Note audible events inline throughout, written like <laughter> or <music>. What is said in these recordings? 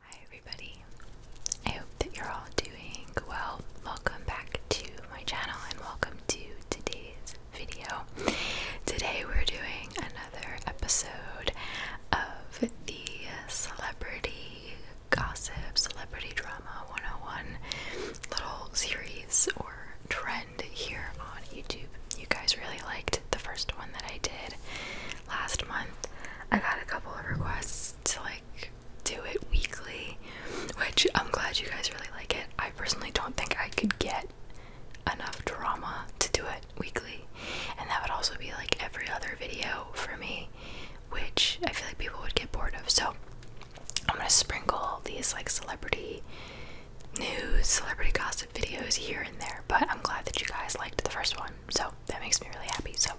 Hi everybody. I hope that you're all doing well. Welcome back to my channel and welcome to today's video. Today we're doing another episode of the celebrity gossip, celebrity drama 101 little series or trend here on YouTube. You guys really liked the first one that I did last month I got a couple of requests to like do it weekly, which I'm glad you guys really like it. I personally don't think I could get enough drama to do it weekly, and that would also be like every other video for me, which I feel like people would get bored of. So I'm gonna sprinkle these like celebrity news, celebrity gossip videos here and there, but I'm glad that you guys liked the first one. So that makes me really happy. So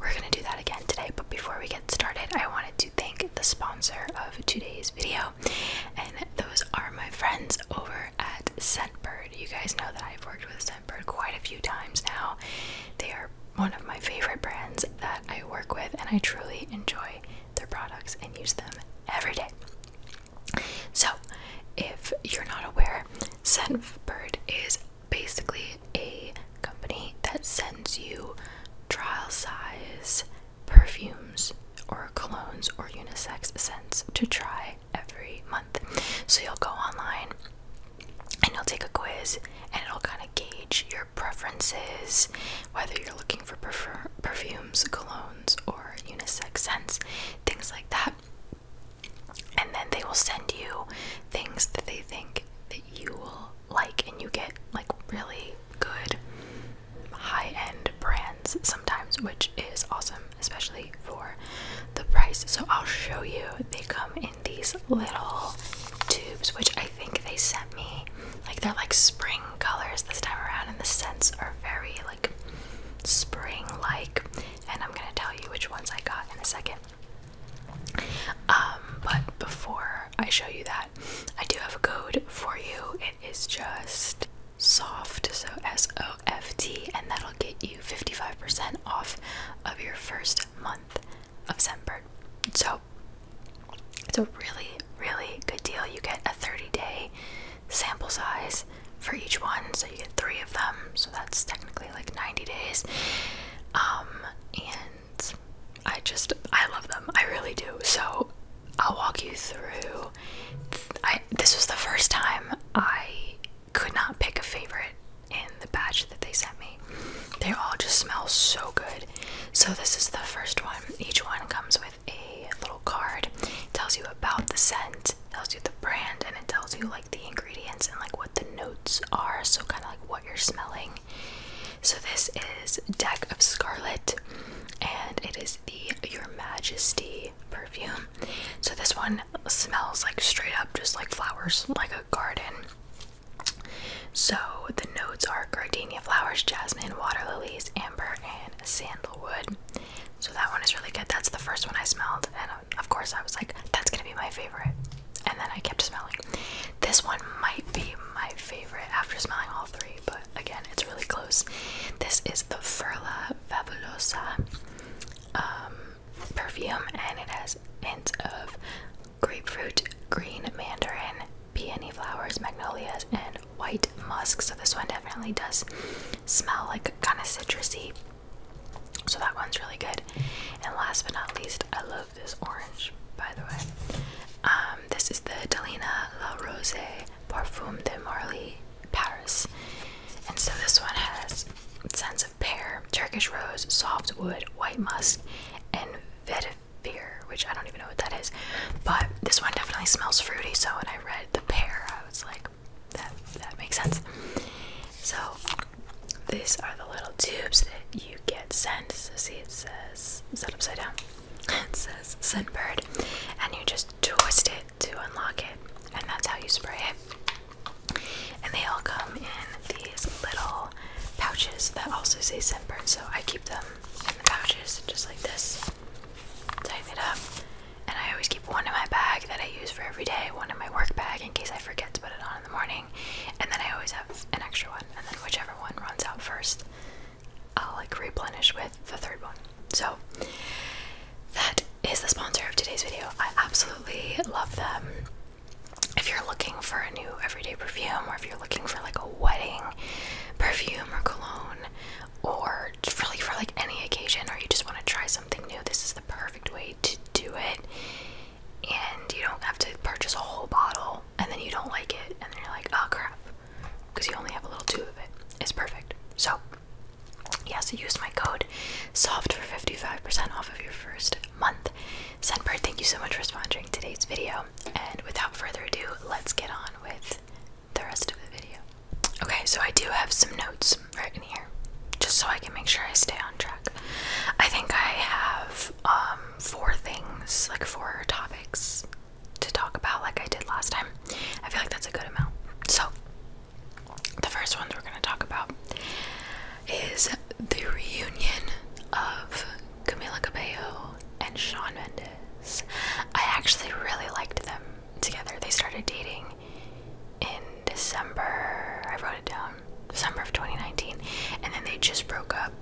we're gonna do that again today. But before we get started, I wanted to thank the sponsor of today's video, and those are my friends over at Scentbird. You guys know that I've worked with Scentbird quite a few times now. They are one of my favorite brands that I work with, and I truly enjoy their products and use them every day. So, if you're not aware, Scentbird is basically a company that sends you trial size perfumes or colognes or unisex scents to try every month. So you'll go online and you'll take a quiz and it'll kind of gauge your preferences, whether you're looking for perfumes, colognes, or unisex scents, things like that and then they will send you things that they think that you will like and you get like really good high-end brands sometimes which is awesome especially for the price so i'll show you they come in these little tubes which i think they sent me like they're like spring colors this time around and the scents are very like spring like and i'm gonna tell you which ones i got in a second um, but before I show you that, I do have a code for you. It is just soft, so S O F T, and that'll get you 55% off of your first month of Scentbird. So it's a really, really good deal. You get a 30 day sample size for each one, so you get three of them. So that's technically like 90 days. Um, and I just, I love them. I really do. So I'll walk you through. I, this was the first time I could not pick a favorite in the batch that they sent me. They all just smell so good. So this is the first one. Each one comes with a little card. tells you about the scent, tells you the brand, and it tells you like the ingredients and like what the notes are, so kind of like what you're smelling. So this is Deck of Scarlet, and it is the Your Majesty perfume. So this one smells like straight up just like flowers, like a garden. So the notes are gardenia flowers, jasmine, water lilies, amber, and sandalwood. So that one is really good. That's the first one I smelled, of course, I was like, that's gonna be my favorite. And then I kept smelling. This one might be my favorite after smelling all three, but again, it's really close. This is the Furla Fabulosa um, perfume, and it has hints of grapefruit, green mandarin, peony flowers, magnolias, and white musk. So this one definitely does smell like kind of citrusy. So that one's really good. And last but not least, I love this orange, by the way. Um, this is the Delina La Rose Parfum de Marly Paris. And so this one has scents of pear, Turkish rose, soft wood, white musk, and vetiver, which I don't even know what that is. But this one definitely smells fruity, so when I read the pear, I was like, that that makes sense. So these are the little tubes that you get sent. So see, it says set upside down. <laughs> It says scent bird, and you just twist it to unlock it, and that's how you spray it. And they all come in these little pouches that also say scent bird. So I keep them in the pouches just like this. Tighten it up, and I always keep one in my bag that I use for every day, one in my work bag in case I forget to put it on in the morning and then I always have an extra one, and then whichever one runs out first, I'll like replenish with the third one. So that is the sponsor of today's video. I absolutely love them. If you're looking for a new everyday perfume, or if you're looking for like a wedding perfume or cologne, or really for like any occasion, or you just want to try something new, this is the perfect way to do it and you don't have to purchase a whole bottle and then you don't like it and then you're like oh crap because you only have a little two of it it's perfect so yes use my code solved for 55% off of your first month sunbird thank you so much for sponsoring today's video and without further ado let's get on with the rest of the video okay so i do have some notes right just so I can make sure I stay on track. I think I have um, four things, like four topics to talk about like I did last time. I feel like that's a good amount. So the first ones we're going to talk about is the reunion of Camila Cabello and Sean Mendes. I actually really liked them together. They started dating in December. I wrote it down. Um, December of 2019, and then they just broke up,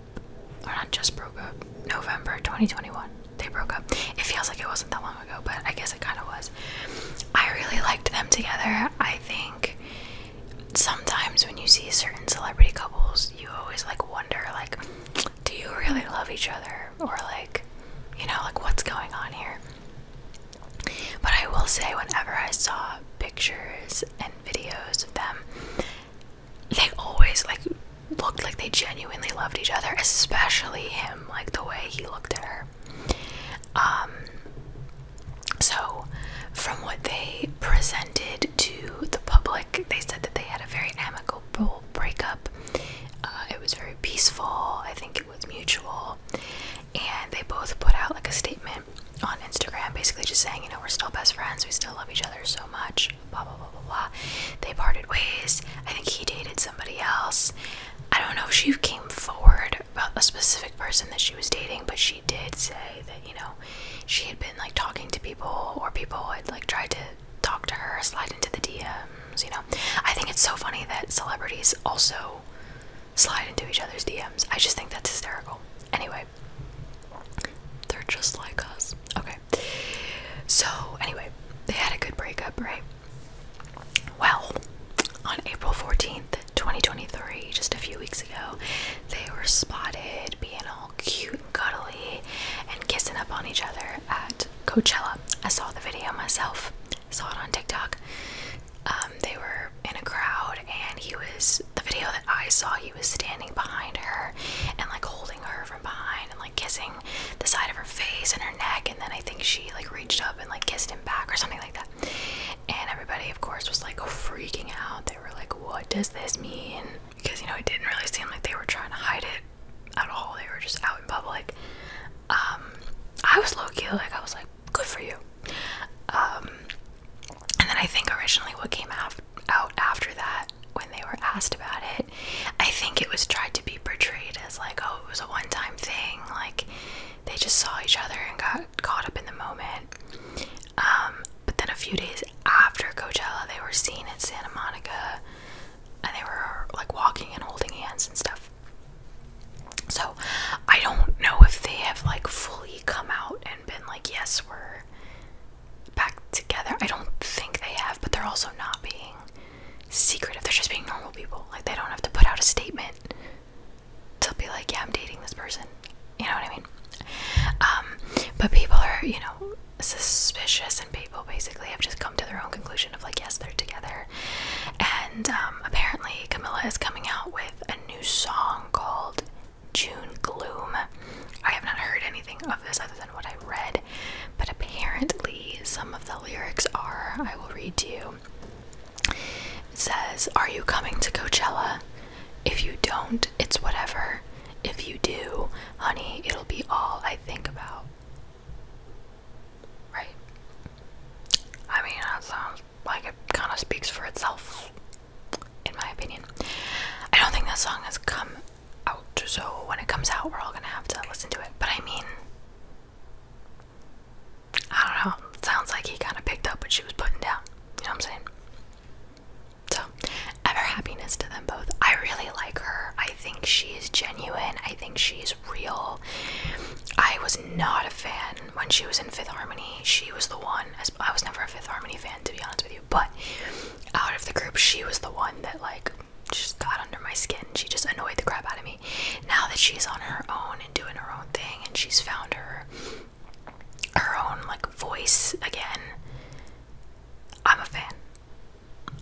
or not just broke up, November 2021. They broke up. It feels like it wasn't that long ago, but I guess it kind of was. I really liked them together. I think sometimes when you see certain celebrity couples, you always like wonder, like, do you really love each other, or like, you know, like what's going on here? But I will say, whenever I saw pictures and videos of them, they always like looked like they genuinely loved each other, especially him, like the way he looked at her. Um, so, from what they presented to the public, they said that they had a very amicable breakup. Uh, it was very peaceful. I think it was mutual. And they both put out like a statement on Instagram, basically just saying, you know, we're still best friends, we still love each other so much, blah, blah, blah, blah, blah. They parted ways. I think he dated somebody else. I don't know if she came forward about a specific person that she was dating, but she did say that, you know, she had been like talking to people or people had like tried to talk to her, slide into the DMs, you know. I think it's so funny that celebrities also slide into each other's DMs. I just think that's hysterical. Anyway, they're just like us. Okay. So, anyway, they had a good breakup, right? Well, on April 14th, 2023, just a few weeks ago, they were spotted being all cute and cuddly and kissing up on each other at Coachella. I saw the video myself, saw it on TikTok. Um, they were in a crowd, and he was the video that I saw. He was standing behind her and like holding her from behind and like kissing the side of her face and her neck. And then I think she like reached up and like kissed him back or something like that. And everybody, of course, was like freaking out. They were like, "What does this mean?" Because you know, it didn't really seem like they were trying to hide it at all. They were just out in public. Um, I was low key like I was like, good for you. Um, and then I think originally what came out after that, when they were asked about it, I think it was tried to be portrayed as like, oh, it was a one time thing, like they just saw each other and got caught up in the moment. Um, but then a few days after Coachella, they were seen in Santa Monica and they were like walking and holding hands and stuff. So I don't know if they have like fully come out and and been like, yes, we're back together. I don't think they have, but they're also not being secretive. They're just being normal people. Like, they don't have to put out a statement to be like, yeah, I'm dating this person. You know what I mean? Um, but people are, you know, suspicious, and people basically have just come to their own conclusion of like, yes, they're together. And um, apparently, Camilla is coming out with a new song called June gloom. I have not heard anything of this other than what I read, but apparently some of the lyrics are I will read to you. says, Are you coming to Coachella? If you don't, it's whatever. If you do, honey, it'll be all I think about. Right? I mean, that sounds like it kind of speaks for itself, in my opinion. I don't think that song has come out, so when it comes out, we're all gonna have to listen to it. But I mean, I don't know. sounds like he kind of picked up what she was putting down. You know what I'm saying? So, ever happiness to them both. I really like her. I think she's genuine. I think she's real. I was not a fan when she was in Fifth Harmony. She was the one I was never a Fifth Harmony fan to be honest with you, but out of the group, she was the one that like just got under my skin. She just annoyed the crap out of me. Now that she's on her own and doing her own thing, and she's found her her own like voice again, I'm a fan.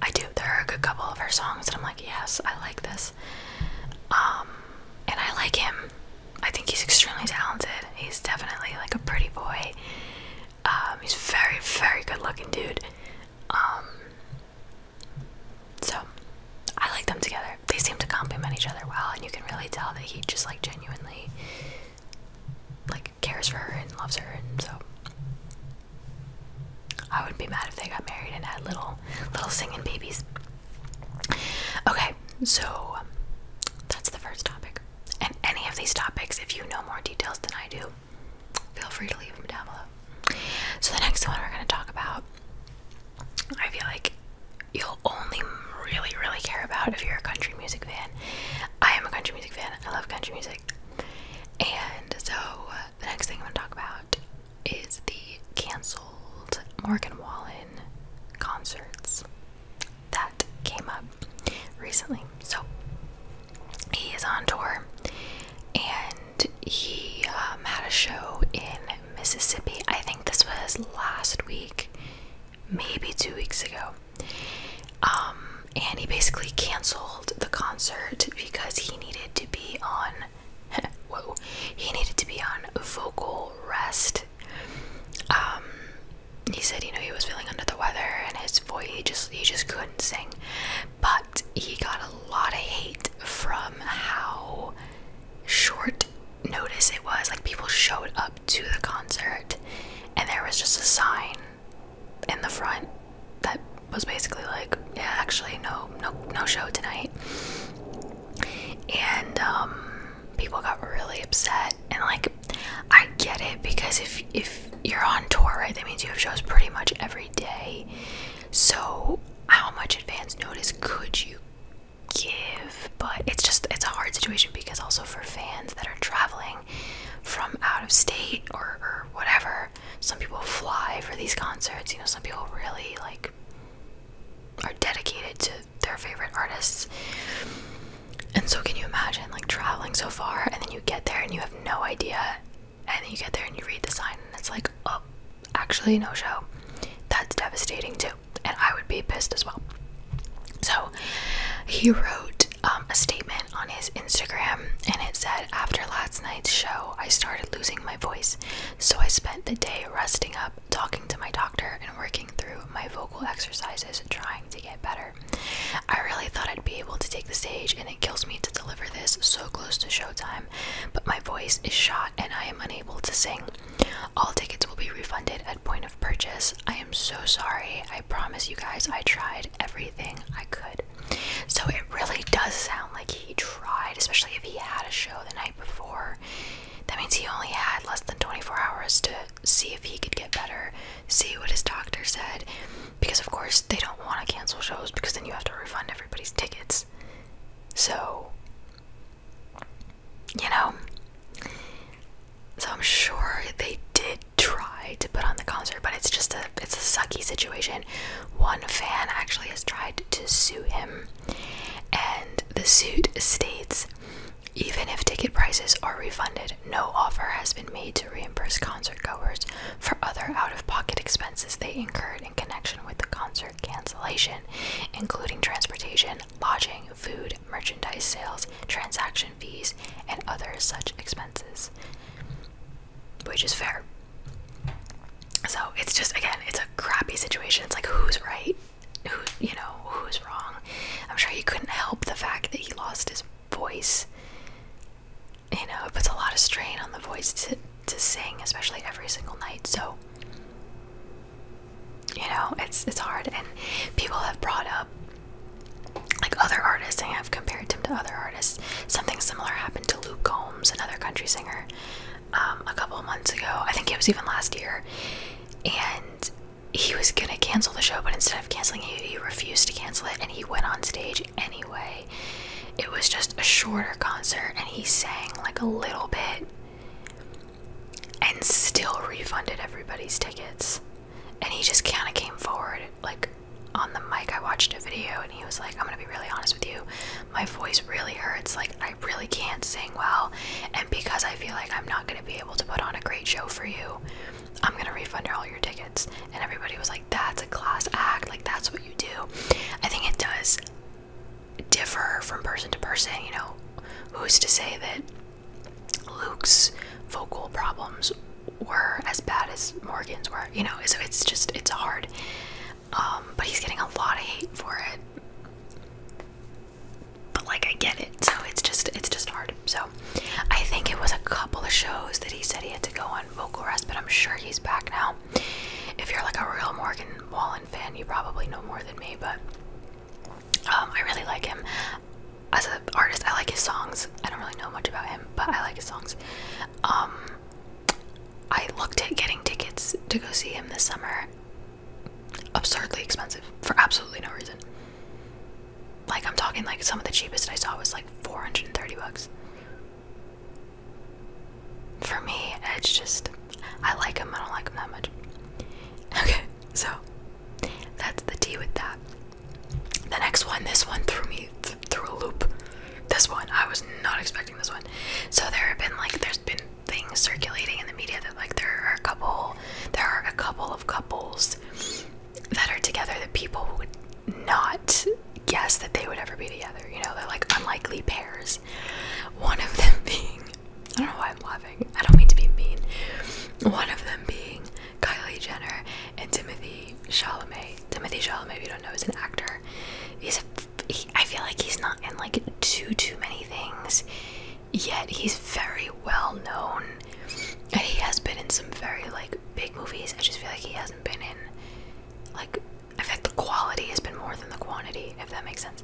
I do. There are a good couple of her songs that I'm like, yes, I like this. Um, and I like him. I think he's extremely talented. He's definitely like a pretty boy. Um, he's very, very good looking dude. Um, so I like them together. They seem to complement each other well, and you can really tell that he just like genuinely like cares for her and loves her, and so I wouldn't be mad if they got married and had little little singing babies. Okay, so um, that's the first topic. And any of these topics, if you know more details than I do, feel free to leave them down below. So the next one we're going to talk about, I feel like you'll only really, really care about if you're a country music fan. I am a country music fan. I love country music. And so uh, the next thing I'm going to talk about is the canceled Morgan Wallen concerts that came up recently. So he is on tour and he um, had a show in Mississippi. I think this was last week, maybe two weeks ago. Um, and he basically canceled the concert because he needed to be on. <laughs> Whoa, he needed to be on vocal rest. Um, he said you know he was feeling under the weather and his voice he just he just couldn't sing but he got a lot of hate from how short notice it was like people showed up to the concert and there was just a sign in the front that was basically like yeah actually no no no show tonight and um people got really upset and like I get it because if if you're on tour, right, that means you have shows pretty much every day. So how much advance notice could you give? But it's just it's a hard situation because also for fans that are traveling from out of state or, or whatever, some people fly for these concerts. You know, some people really like are dedicated to their favorite artists. And so, can you imagine like traveling so far and then you get there and you have no idea? And then you get there and you read the sign and it's like, oh, actually, no show. That's devastating too. And I would be pissed as well. So, he wrote um, a statement on his Instagram and it said, After last night's show, I started losing my voice. So, I spent the day resting up talking to my doctor, and working through my vocal exercises, trying to get better. I really thought I'd be able to take the stage, and it kills me to deliver this so close to showtime, but my voice is shot and I am unable to sing. All tickets will be refunded at point of purchase. I am so sorry. I promise you guys I tried everything I could. So it really does sound like he tried, especially if he had a show the night before. That means he only had less than 24 hours to see if he could get better, see what his doctor said, because of course they don't want to cancel shows because then you have to refund everybody's tickets. So, you know, so I'm sure they did try to put on the concert, but it's just a it's a sucky situation. One fan actually has tried to sue him, and the suit states even if ticket prices are refunded, no offer has been made to reimburse concert goers for other out of pocket expenses they incurred in connection with the concert cancellation, including transportation, lodging, food, merchandise sales, transaction fees, and other such expenses. Which is fair. So it's just, again, it's a crappy situation. It's like, who's right? who you know who's wrong. I'm sure he couldn't help the fact that he lost his voice. You know, it puts a lot of strain on the voice to to sing, especially every single night. So you know, it's it's hard and people have brought up like other artists, and I've compared him to other artists. Something similar happened to Luke Combs, another country singer, um, a couple months ago. I think it was even last year. And he was gonna cancel the show, but instead of canceling it, he, refused to cancel it and he went on stage anyway. It was just a shorter concert and he sang like a little bit and still refunded everybody's tickets. And he just kind of came forward, like on the mic. I watched a video and he was like, I'm gonna be really honest with you, my voice really hurts. Like, I really can't sing well, and because I feel like I'm not gonna." to be able to put on a great show for you. I'm going to refund all your tickets. And everybody was like, that's a class act. Like, that's what you do. I think it does differ from person to person. You know, who's to say that Luke's vocal problems were as bad as Morgan's were? You know, so it's just, it's hard. Um, but he's getting a lot of hate for it but like I get it. So it's just it's just hard. So I think it was a couple of shows that he said he had to go on vocal rest, but I'm sure he's back now. If you're like a real Morgan Wallen fan, you probably know more than me, but um, I really like him as an artist. I like his songs. I don't really know much about him, but I like his songs. Um, I looked at getting tickets to go see him this summer. Absurdly expensive for absolutely no reason. Like I'm talking like some of the cheapest I saw was like 430 bucks. For me, it's just I like them, I don't like them that much. Okay, so that's the tea with that. The next one, this one threw me through a loop. This one, I was not expecting this one. So there have been like there's been things circulating in the media that like there are a couple there are a couple of couples that are together that people would not guess that they would ever be together. You know, they're like unlikely pairs. One of them <laughs> being, I don't know why I'm laughing, I don't mean to be mean. One of them being Kylie Jenner and Timothy Chalamet. Timothy Chalamet, if you don't know, is an actor. He's a, I feel like he's not in like too too many things yet he's very well known and he has been in some very like big movies i just feel like he hasn't been in like i think the quality has been more than the quantity if that makes sense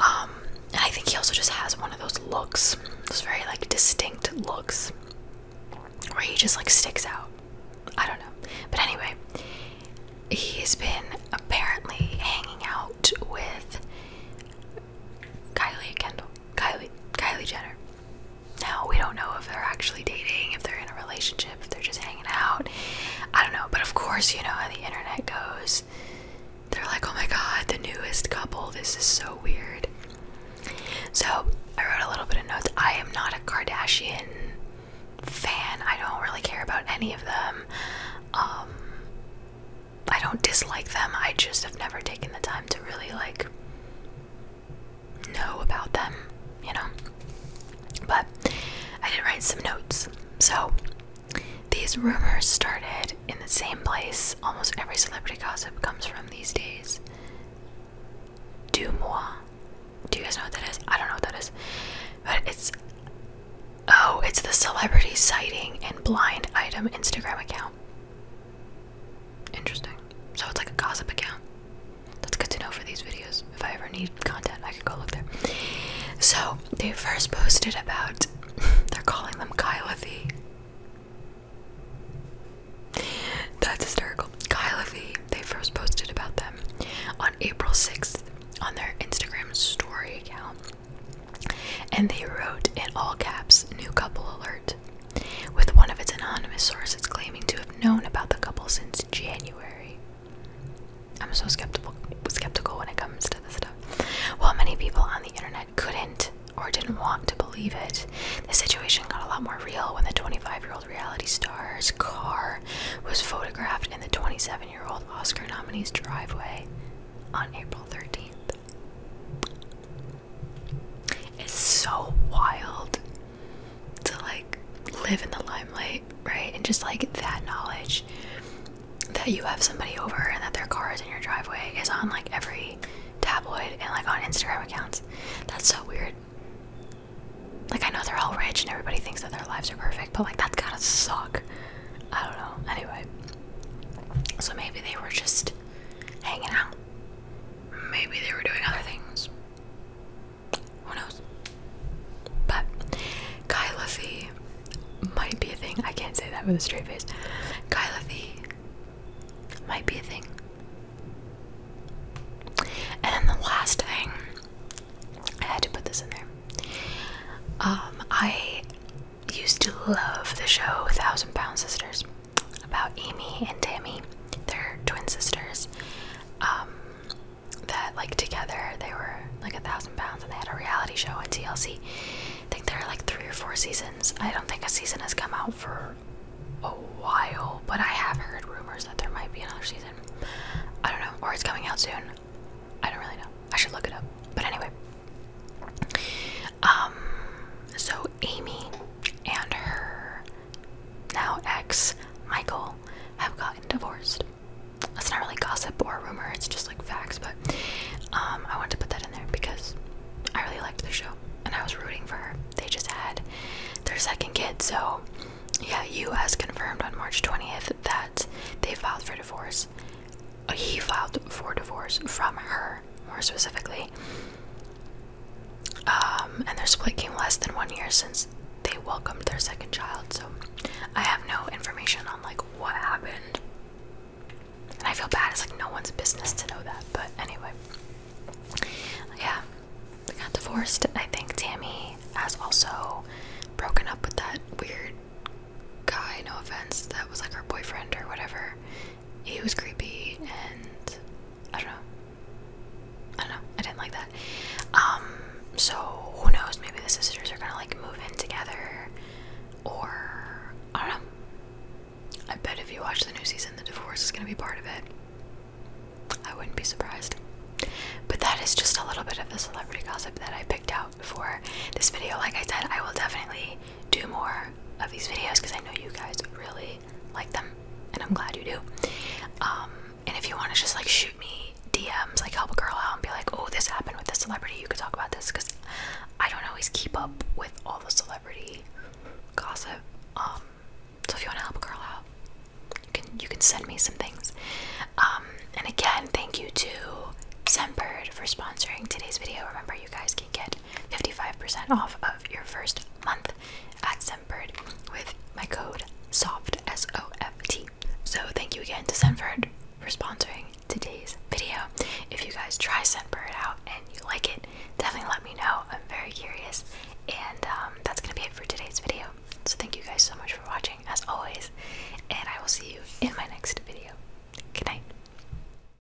um and i think he also just has one of those looks those very like distinct looks where he just like sticks out i don't know but anyway he's been apparently hanging out with Kylie Kendall. Kylie Kylie Jenner. Now we don't know if they're actually dating, if they're in a relationship, if they're just hanging out. I don't know, but of course you know how the internet goes. They're like, oh my god, the newest couple, this is so weird. So I wrote a little bit of notes. I am not a Kardashian fan. I don't really care about any of them. Um, I don't dislike them. I just have never taken the time to really like know about them, you know. But I did write some notes. So these rumors started in the same place almost every celebrity gossip comes from these days. Dumois. Do you guys know what that is? I don't know what that is. But it's oh, it's the celebrity sighting and blind item Instagram account. Interesting. So it's like a gossip account. That's good to know for these videos. If I ever need content, I can go look there. So they first posted about <laughs> they're calling them Kylothy. That's hysterical. Kylothy, they first posted about them on April 6th on their Instagram story account. And they wrote in all caps, New Couple Alert, with one of its anonymous sources claiming to have known about the couple since January. I'm so skeptical, skeptical when it comes to this stuff. While many people on the internet couldn't or didn't want to believe it, the situation got a lot more real when the 25 year old reality star's car was photographed in the 27 year old Oscar nominee's driveway on April 13th. It's so wild to like live in the limelight, right? And just like that knowledge that you have somebody over and that their car is in your driveway is on like every tabloid and like on Instagram accounts. That's so weird. Like, I know they're all rich and everybody thinks that their lives are perfect, but like, that's gotta suck. I don't know. Anyway, so maybe they were just hanging out. Maybe they were doing other things. Who knows? But Kyla might be a thing. I can't say that with a straight face. Kyla might be a thing. And then the last thing, I had to put this in there. Um, I used to love the show Thousand Pound Sisters about Amy and Tammy, their twin sisters. Um, that like together they were like a thousand pounds and they had a reality show on TLC. I think there are like three or four seasons. I don't think a season has come out for a while, but I have heard rumors that there might be another season. I don't know, or it's coming out soon. I don't really know. I should look it up. But anyway, um, so Amy and her now ex, Michael, have gotten divorced. That's not really gossip or rumor, it's just like facts, but um, I wanted to put that in there because I really liked the show and I was rooting for her. They just had their second kid, so yeah, U.S. confirmed on March 20th that they filed for divorce he filed for divorce from her, more specifically. Um, and their split came less than one year since they welcomed their second child. So I have no information on like what happened. And I feel bad. It's like no one's business to know that. But anyway, yeah, they got divorced. I think Tammy has also broken up with that weird guy. No offense, that was like her boyfriend or whatever. It was creepy, and I don't know. I don't know. I didn't like that. Um, so who knows? Maybe the sisters are gonna like move in together, or I don't know. I bet if you watch the new season, the divorce is gonna be part of it. I wouldn't be surprised. But that is just a little bit of the celebrity gossip that I picked out for this video. Like I said, I will definitely do more of these videos because I know you guys really like them and I'm glad you do. Um, and if you want to just like shoot me DMs, like help a girl out and be like, oh, this happened with this celebrity, you could talk about this because I don't always keep up with all the celebrity gossip. Um, so if you want to help a girl out, you can you can send me some things. Um, and again, thank you to Semperd for sponsoring today's video. Remember, you guys can get 55% off of your first month at Semford with my code SOFT S O F T. So thank you again to Senford for sponsoring today's video. If you guys try Senford out and you like it, definitely let me know. I'm very curious. And um, that's gonna be it for today's video. So thank you guys so much for watching as always, and I will see you in my next video. Good